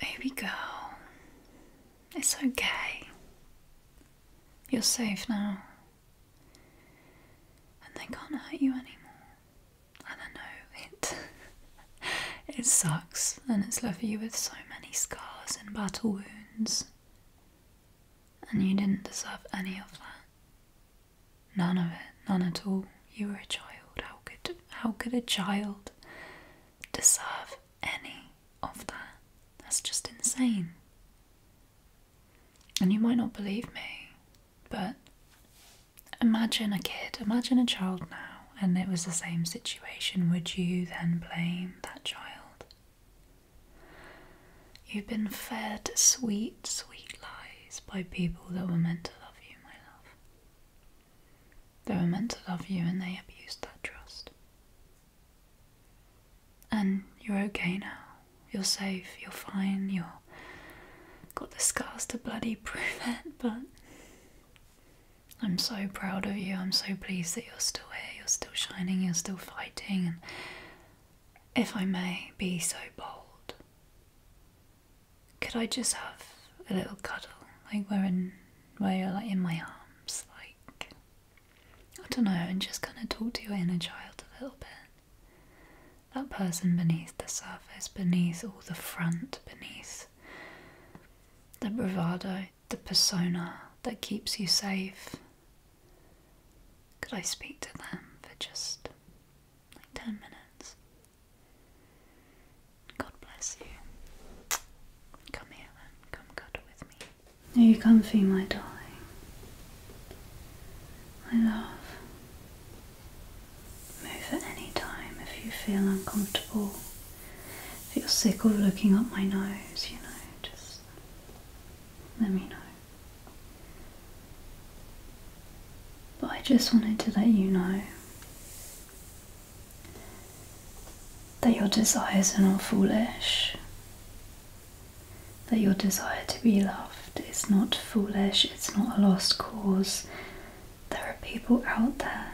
Baby girl, it's okay. You're safe now. And they can't hurt you anymore. I know it it sucks and it's left you with so many scars and battle wounds. And you didn't deserve any of that. None of it, none at all. You were a child. How could how could a child deserve any of that. That's just insane. And you might not believe me, but imagine a kid, imagine a child now, and it was the same situation. Would you then blame that child? You've been fed sweet, sweet lies by people that were meant to love you, my love. They were meant to love you and they abused that trust. And you're okay now. You're safe, you're fine, you're got the scars to bloody prove it, but I'm so proud of you. I'm so pleased that you're still here, you're still shining, you're still fighting. And if I may be so bold, could I just have a little cuddle? Like where in where you're like in my arms, like I don't know, and just kinda talk to your inner child a little bit. That person beneath the surface, beneath all the front, beneath the bravado, the persona that keeps you safe. Could I speak to them for just like 10 minutes? God bless you. Come here and come cuddle with me. Are you comfy, my darling? My love. Move at any time if you feel uncomfortable. If you're sick of looking up my nose, you know, just let me know. But I just wanted to let you know that your desires are not foolish, that your desire to be loved is not foolish, it's not a lost cause. There are people out there,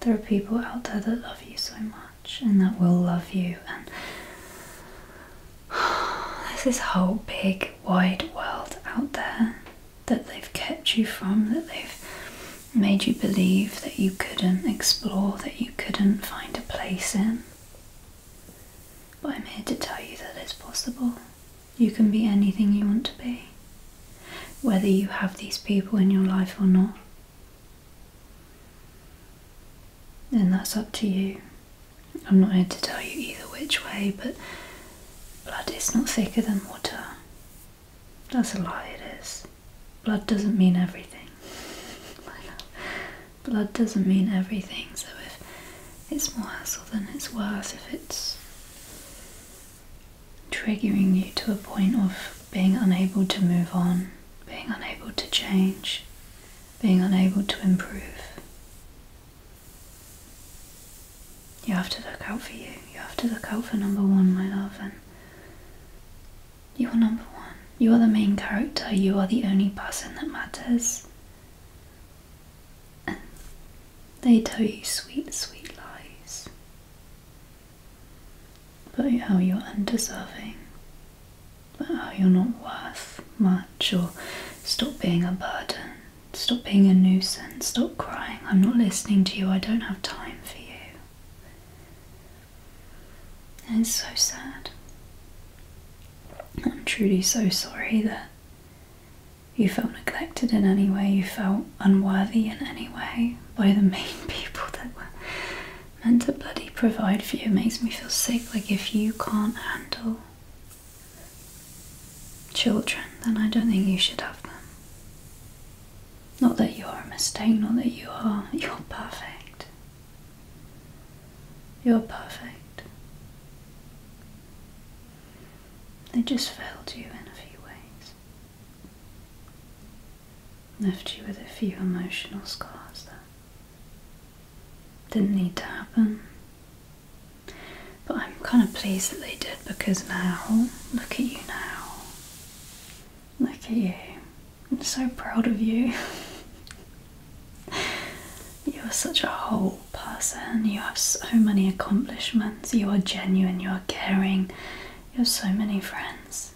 there are people out there that love you so much and that will love you. And there's this whole big, wide world out there that they've kept you from, that they've made you believe that you couldn't explore, that you couldn't find a place in. But I'm here to tell you that it's possible. You can be anything you want to be, whether you have these people in your life or not. Then that's up to you. I'm not here to tell you either which way, but blood is not thicker than water. That's a lie, it is. Blood doesn't mean everything. Blood doesn't mean everything, so if it's more hassle than it's worth, if it's triggering you to a point of being unable to move on, being unable to change, being unable to improve, you have to look out for you. You have to look out for number one, my love, and you are number one. You are the main character. You are the only person that matters. And they tell you sweet, sweet lies about how you're undeserving, about how you're not worth much, or stop being a burden, stop being a nuisance, stop crying. I'm not listening to you. I don't have time for you. And it's so sad. I'm truly so sorry that you felt neglected in any way, you felt unworthy in any way by the main people that were meant to bloody provide for you. makes me feel sick, like if you can't handle children, then I don't think you should have them. Not that you're a mistake, not that you are. You're perfect. You're perfect. They just failed you in a few ways. Left you with a few emotional scars that didn't need to happen. But I'm kind of pleased that they did because now, look at you now. Look at you. I'm so proud of you. You're such a whole person. You have so many accomplishments. You are genuine. You are caring. You have so many friends.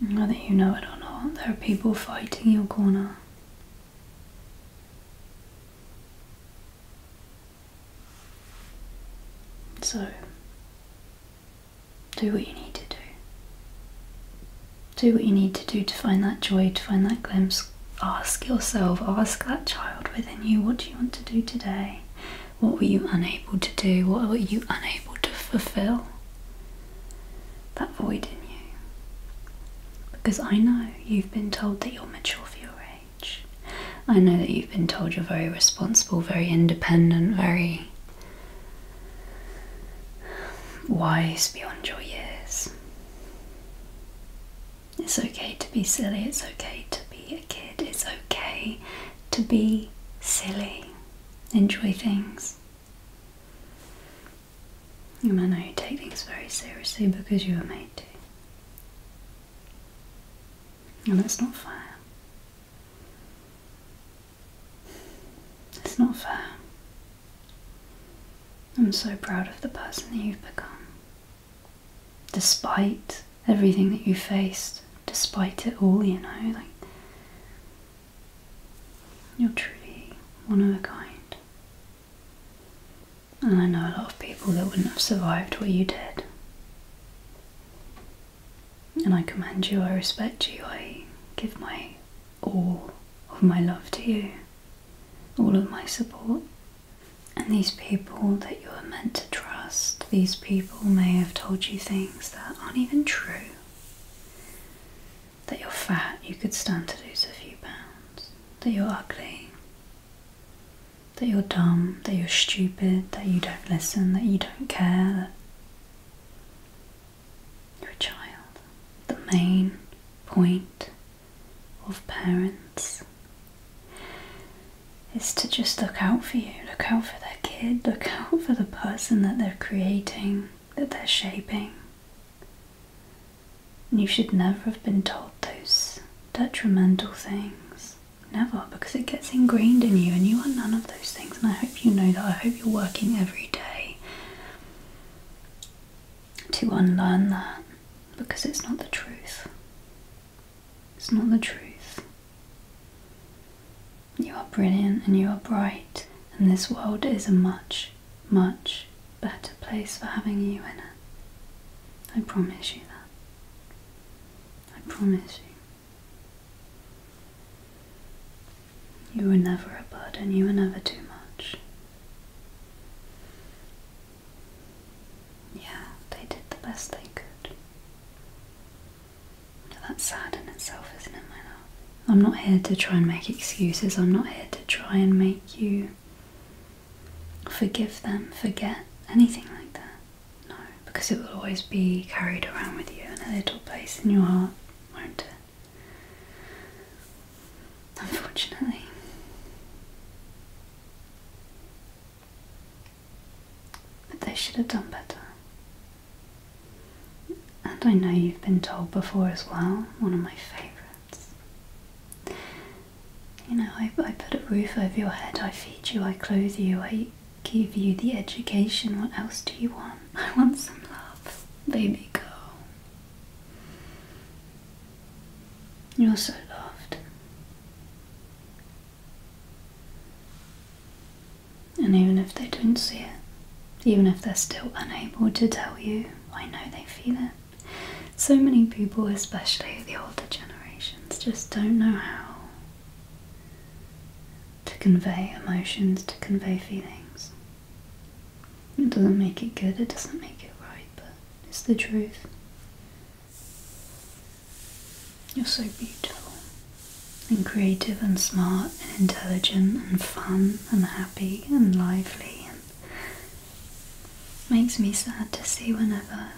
Whether you know it or not, there are people fighting your corner. So, do what you need to do. Do what you need to do to find that joy, to find that glimpse. Ask yourself, ask that child within you, what do you want to do today? What were you unable to do? What were you unable to fulfill? That void in you. Because I know you've been told that you're mature for your age. I know that you've been told you're very responsible, very independent, very wise beyond your years. It's okay to be silly, it's okay to be a kid, it's okay to be silly. Enjoy things. You may know you take things very seriously because you were made to. And that's not fair. It's not fair. I'm so proud of the person that you've become. Despite everything that you faced, despite it all, you know, like you're truly one of a kind. And I know a lot of people that wouldn't have survived what you did. And I commend you, I respect you, I give my all of my love to you, all of my support. And these people that you were meant to trust, these people may have told you things that aren't even true. That you're fat, you could stand to lose a few pounds. That you're ugly, that you're dumb, that you're stupid, that you don't listen, that you don't care, that you're a child. The main point of parents is to just look out for you, look out for their kid, look out for the person that they're creating, that they're shaping. You should never have been told those detrimental things. Never, because it gets ingrained in you and you are none of those things. And I hope you know that. I hope you're working every day to unlearn that because it's not the truth. It's not the truth. You are brilliant and you are bright, and this world is a much, much better place for having you in it. I promise you that. I promise you. You were never a burden, you were never too much. Yeah, they did the best they could. That's sad in itself, isn't it, my love? I'm not here to try and make excuses, I'm not here to try and make you forgive them, forget, anything like that. No, because it will always be carried around with you in a little place in your heart, won't it? Unfortunately. But they should have done better. And I know you've been told before as well, one of my favourites. You know, I, I put a roof over your head, I feed you, I clothe you, I give you the education. What else do you want? I want some love. Baby girl. You're so loved. And even if they don't see it, even if they're still unable to tell you, I know they feel it. So many people, especially the older generations, just don't know how to convey emotions, to convey feelings. It doesn't make it good, it doesn't make it right, but it's the truth. You're so beautiful and creative and smart and intelligent and fun and happy and lively Makes me sad to see whenever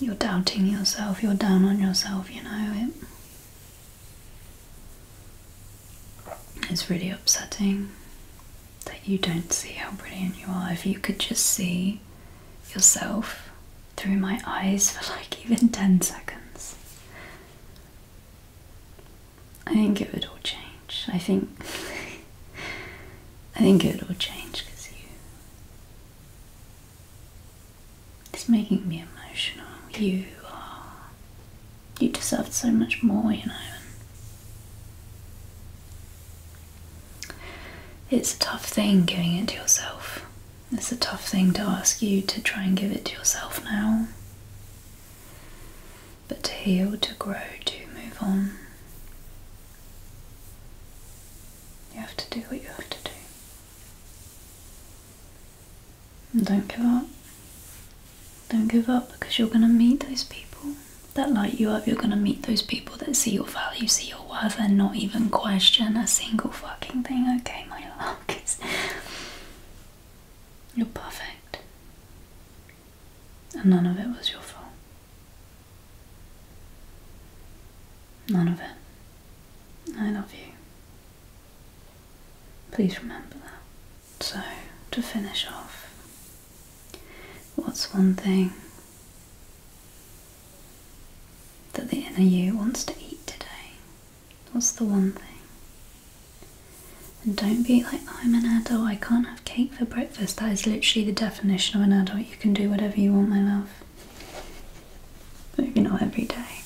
you're doubting yourself, you're down on yourself, you know. It, it's really upsetting that you don't see how brilliant you are. If you could just see yourself through my eyes for like even 10 seconds, I think it would all change. I think. I think it'll change because you. It's making me emotional. You are. You deserve so much more, you know. It's a tough thing giving it to yourself. It's a tough thing to ask you to try and give it to yourself now but to heal, to grow, to move on. You have to do what you have to do. And don't give up. Don't give up because you're going to meet those people that light you up. You're going to meet those people that see your value, see your worth, and not even question a single fucking thing. Okay, my luck is. You're perfect. And none of it was your fault. None of it. I love you. Please remember that. So, to finish off, what's one thing that the inner you wants to eat today? What's the one thing? And don't be like, I'm an adult, I can't have cake for breakfast. That is literally the definition of an adult. You can do whatever you want, my love. Maybe not every day.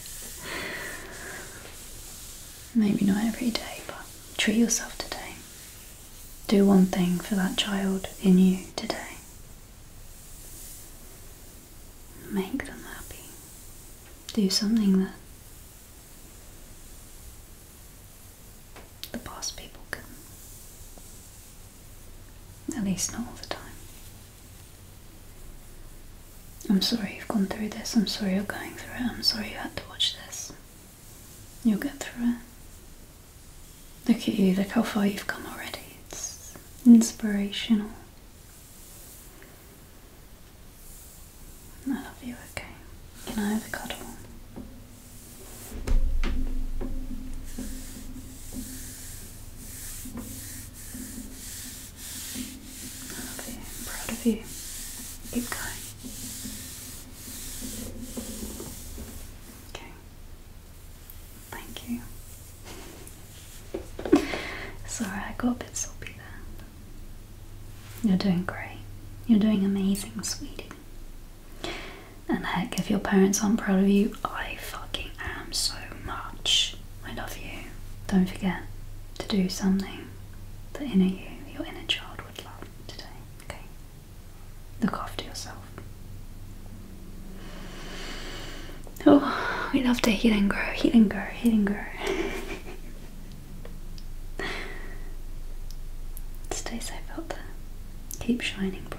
Maybe not every day, but treat yourself today. Do one thing for that child in you today. Make them happy. Do something that the past people can. At least not all the time. I'm sorry you've gone through this. I'm sorry you're going through it. I'm sorry you had to watch this. You'll get through it. Look at you. Look how far you've come already. It's inspirational. I love you, okay? Can I have a cuddle? I'm proud of you. Keep going. Okay. Thank you. Sorry, I got a bit soppy there. You're doing great. You're doing amazing, sweetie. And heck, if your parents aren't proud of you, I fucking am so much. I love you. Don't forget to do something that inner you, your inner child, would love today. Okay? Look after yourself. Oh, we love to heal and grow, heal and grow, heal and grow. Stay safe out there. Keep shining bright.